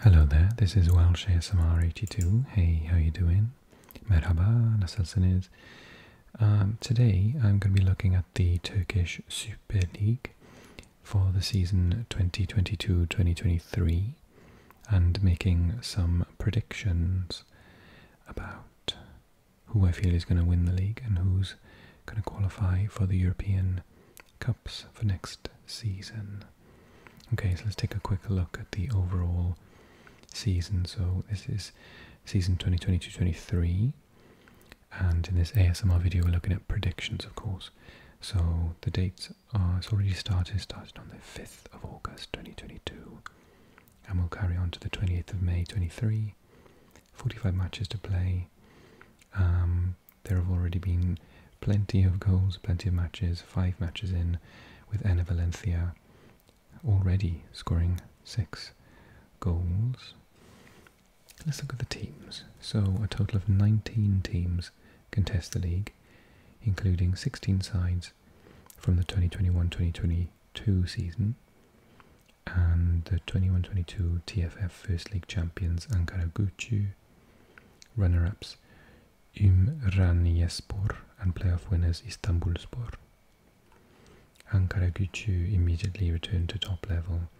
Hello there, this is Welsh ASMR82. Hey, how you doing? Merhaba, nasılsınız? Um, today I'm going to be looking at the Turkish Super League for the season 2022-2023 and making some predictions about who I feel is going to win the league and who's going to qualify for the European cups for next season. Okay, so let's take a quick look at the overall season. So this is season 2022-23 and in this ASMR video we're looking at predictions of course. So the dates are, it's already started, started on the 5th of August 2022 and we'll carry on to the 28th of May 23. 45 matches to play. Um, there have already been plenty of goals, plenty of matches, five matches in with Ana Valencia already scoring six goals. Let's look at the teams. So, a total of 19 teams contest the league, including 16 sides from the 2021 2022 season and the 21 22 TFF. First League champions Ankara Gucu, runner-ups Imran Ümraniyespor and playoff winners Istanbulspor. Ankara Gucu immediately returned to top level.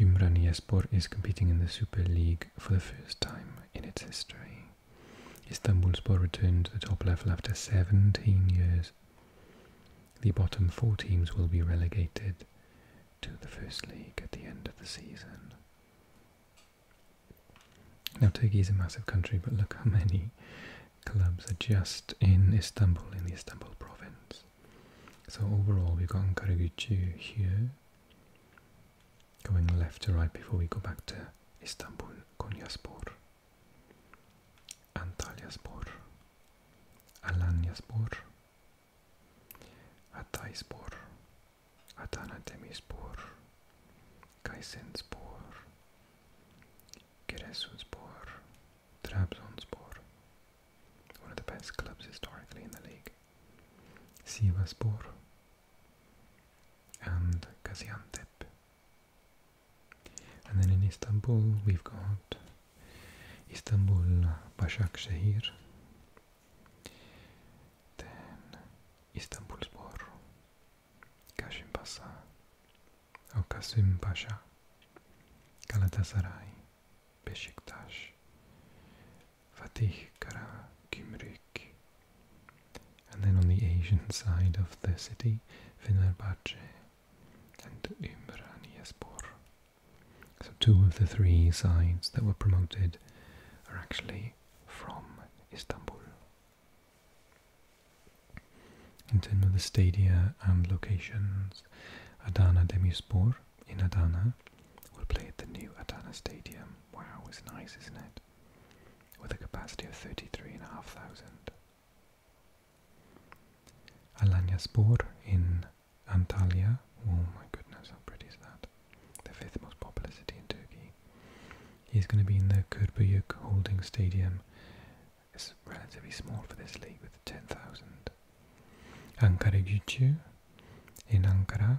Imran Ümraniyespor is competing in the Super League for the first time in its history. Istanbulspor returned to the top level after 17 years. The bottom four teams will be relegated to the First League at the end of the season. Now, Turkey is a massive country, but look how many clubs are just in Istanbul, in the Istanbul province. So overall, we've got Ankaragücü here, going left to right before we go back to Istanbul, Konyaspor, Antalyaspor, Alanyaspor, Hatayspor, Adana-Demirspor, Kayserispor, Giresunspor, Trabzonspor, one of the best clubs historically in the league, Sivasspor, and Gaziantep. And then in Istanbul we've got Istanbul Başakşehir then Istanbulspor Kasimpasa or Kasim Beşiktaş Fatih Kara and then on the Asian side of the city Fenerbahce and Umraniaspor. So two of the three sides that were promoted are actually from Istanbul. In terms of the stadia and locations, Adana Demirspor in Adana will play at the new Adana Stadium. Wow, it's nice, isn't it? With a capacity of 33,500. Alanyaspor in Antalya. Oh my goodness, how pretty is that? The fifth most popular city in Turkey. He's going to be in the Kurbuyuk Holding Stadium. It's relatively small for this league with 10,000. Ankara Gücü in Ankara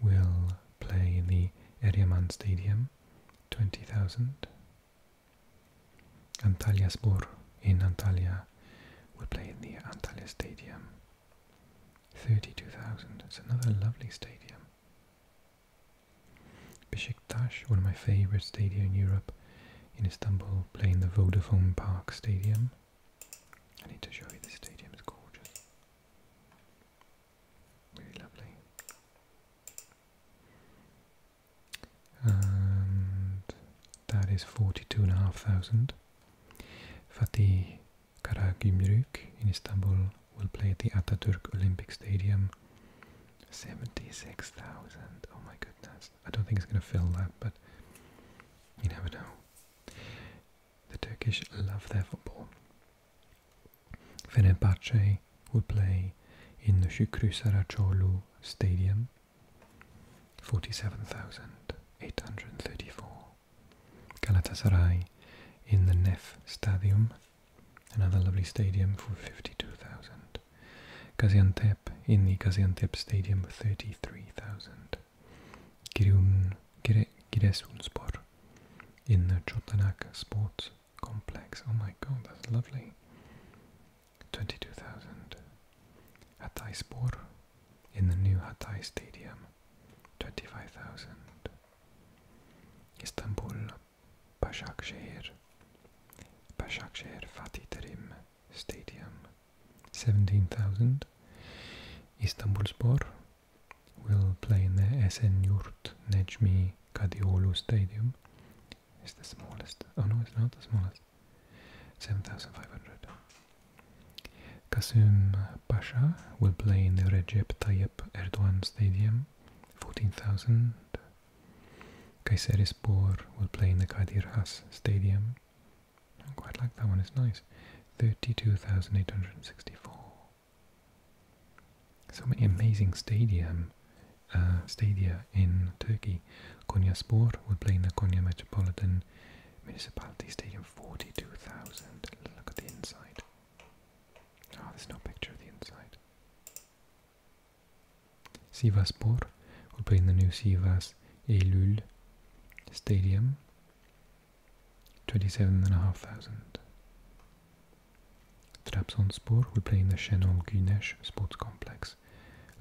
will play in the Eryaman Stadium, 20,000. Antalyaspor in Antalya will play in the Antalya Stadium. 32,000. It's another lovely stadium. Besiktas, one of my favourite stadiums in Europe, in Istanbul, playing the Vodafone Park Stadium. I need to show you this stadium, it's gorgeous. Really lovely and that is 42,500. Fatih Karagümrük in Istanbul will play at the Atatürk Olympic Stadium. 76,000. Oh my goodness. I don't think it's going to fill that, but you never know. The Turkish love their football. Fenerbahce will play in the Şükrü Saraçoğlu Stadium, 47,834. Galatasaray in the Nef Stadium, another lovely stadium for 52,000. Gaziantep in the Gaziantep Stadium, 33,000. Giresun, Giresunspor in the Çotanak Sports complex. Oh my god, that's lovely. 22,000. Hatay Spor in the new Hatay Stadium. 25,000. Istanbul. Başakşehir. Başakşehir Fatih Terim Stadium. 17,000. Istanbulspor will play in the SN Yurt Necmi Kadioğlu Stadium. It's the smallest. Oh no, it's not the smallest. 7,500. Kasim Pasha will play in the Recep Tayyip Erdogan Stadium, 14,000. Kayserispor will play in the Kadir Has Stadium. I quite like that one, it's nice. 32,864. So many amazing stadium, uh, stadia in Turkey. Konya Sport will play in the Konya Metropolitan Municipality Stadium, 42,000. Look at the inside. Oh, there's no picture of the inside. Sivaspor will play in the new Sivas Eylül Stadium, 27,500. Trabzonspor will play in the Şenol Güneş Sports Complex.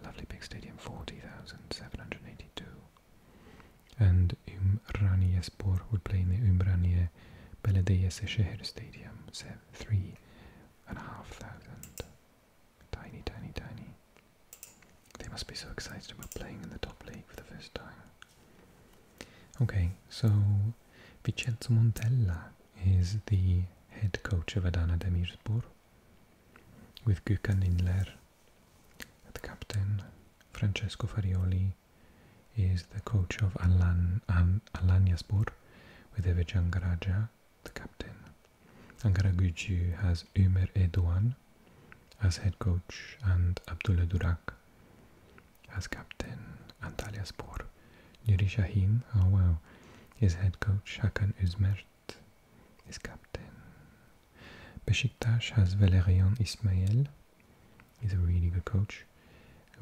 Lovely big stadium, 40,782. And Ümraniyespor will play in the Ümraniye Belediyesehir Stadium, 3,500. Tiny, tiny, tiny. They must be so excited about playing in the top league for the first time. Okay, so Vincenzo Montella is the head coach of Adana Demirspor with Gökhan Inler, the captain. Francesco Farioli is the coach of Alan, um, Alanyaspor with Evej Angaraja, the captain. Ankara Gucu has Ömer Eduan as head coach and Abdullah Durak as captain Antalyaspor, Spor, Nuri Shahin, oh wow, his head coach, Hakan Uzmert is captain. Besiktas has Valerian Ismail, he's a really good coach,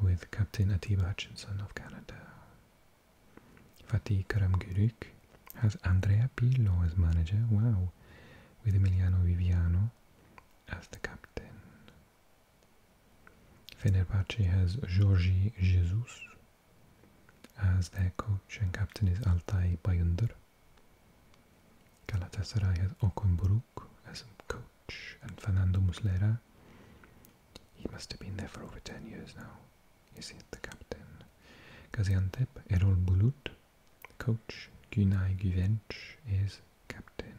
with captain Atiba Hutchinson of Canada. Fatih Karamgürük has Andrea Pillo as manager, wow, with Emiliano Viviano as the captain. Fenerbahce has Georgi Jesus as their coach and captain is Altay Bayındır. Galatasaray has Okun Buruk as coach and Fernando Muslera. He must have been there for over 10 years now. Is it the captain? Gaziantep, Erol Bulut, coach. Günay Güvenç is captain.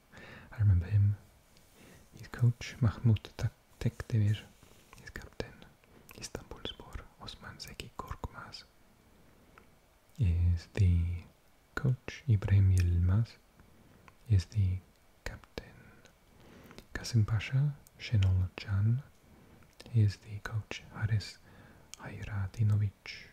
I remember him. His coach Mahmoud Tekdemir, He's captain. Istanbul Spor Osman Zeki Korkmaz is the coach. Ibrahim Yilmaz is the captain. Kasim Pasha Şenol Can is the coach. Haris Hayratinovic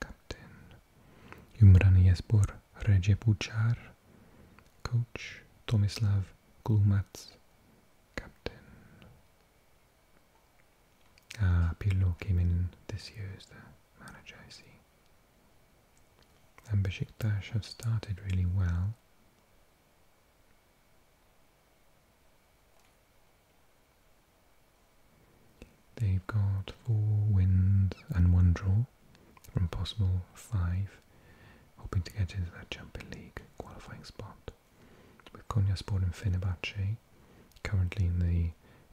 captain Imran Jespor Regepuchar, coach Tomislav Glumac, captain. Ah, Pirlo came in this year as the manager, And Besiktas have started really well. They've got four wins and one draw from possible five, hoping to get into that Champions League qualifying spot. With Konyaspor and Fenerbahce currently in the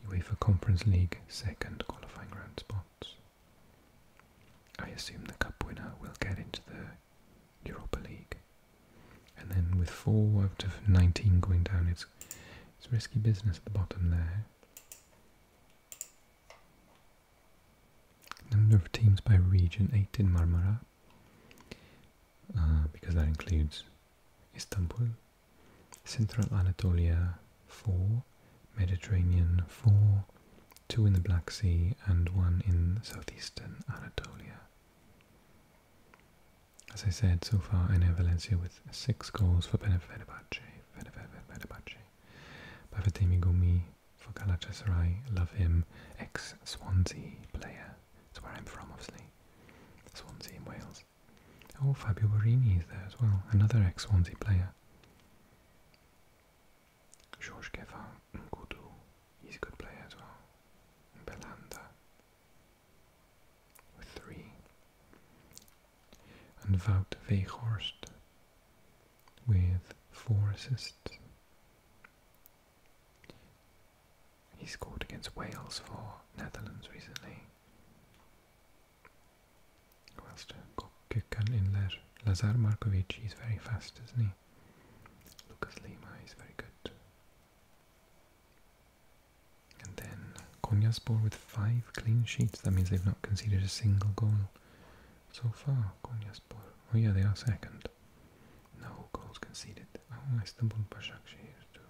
UEFA Conference League second qualifying round spot, I assume the cup winner will get into the Europa League. And then with four out of 19 going down, it's it's risky business at the bottom there. Number of teams by region, 8 in Marmara, uh, because that includes Istanbul, Central Anatolia 4, Mediterranean 4, 2 in the Black Sea and 1 in southeastern Anatolia as I said, so far I know Valencia with six goals for Benfica, Fenerbahce. Bafatemi Gumi for Galatasaray, love him, ex-Swansea player. That's where I'm from, obviously. Swansea in Wales. Oh, Fabio Borini is there as well, another ex-Swansea player. George Kefar Nkudu, he's a good player as well. Belanda, 3. And Wout Weghorst with 4 assists. He scored against Wales for Netherlands recently. Who else Gökhan Inler. Lazar Markovic, is very fast, isn't he? Lucas Lima is very good. And then Konyaspor with five clean sheets. That means they've not conceded a single goal so far. Konyaspor. Oh yeah, they are second. No goals conceded. Oh, I stumbled Başakşehir too.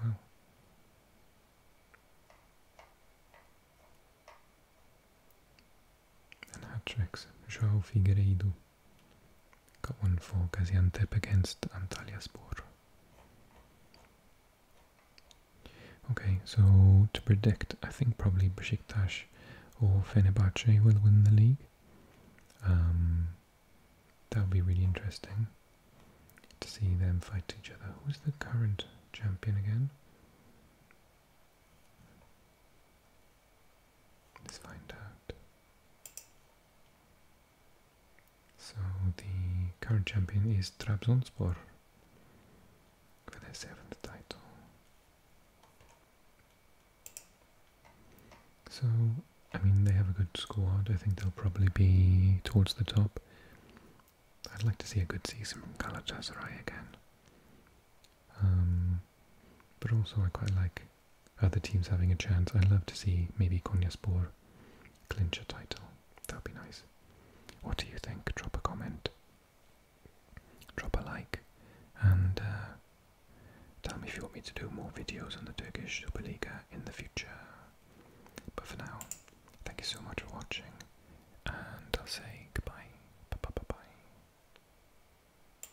Wow. And hat João Figueiredo. Got one for Gaziantep against Antalyaspor. Okay, so to predict, I think probably Besiktas or Fenerbahce will win the league. Um, that will be really interesting to see them fight each other. Who's the current champion again? Let's find out. So the current champion is Trabzonspor for their seventh title. So, I mean, they have a good squad. I think they'll probably be towards the top. I'd like to see a good season from Galatasaray again. Um, but also I quite like other teams having a chance. i love to see maybe Konyaspor clinch a title. That'd be nice. What do you think? Drop a comment, drop a like, and uh, tell me if you want me to do more videos on the Turkish Super League uh, in the future. But for now, thank you so much for watching, and I'll say goodbye. Bye bye bye bye.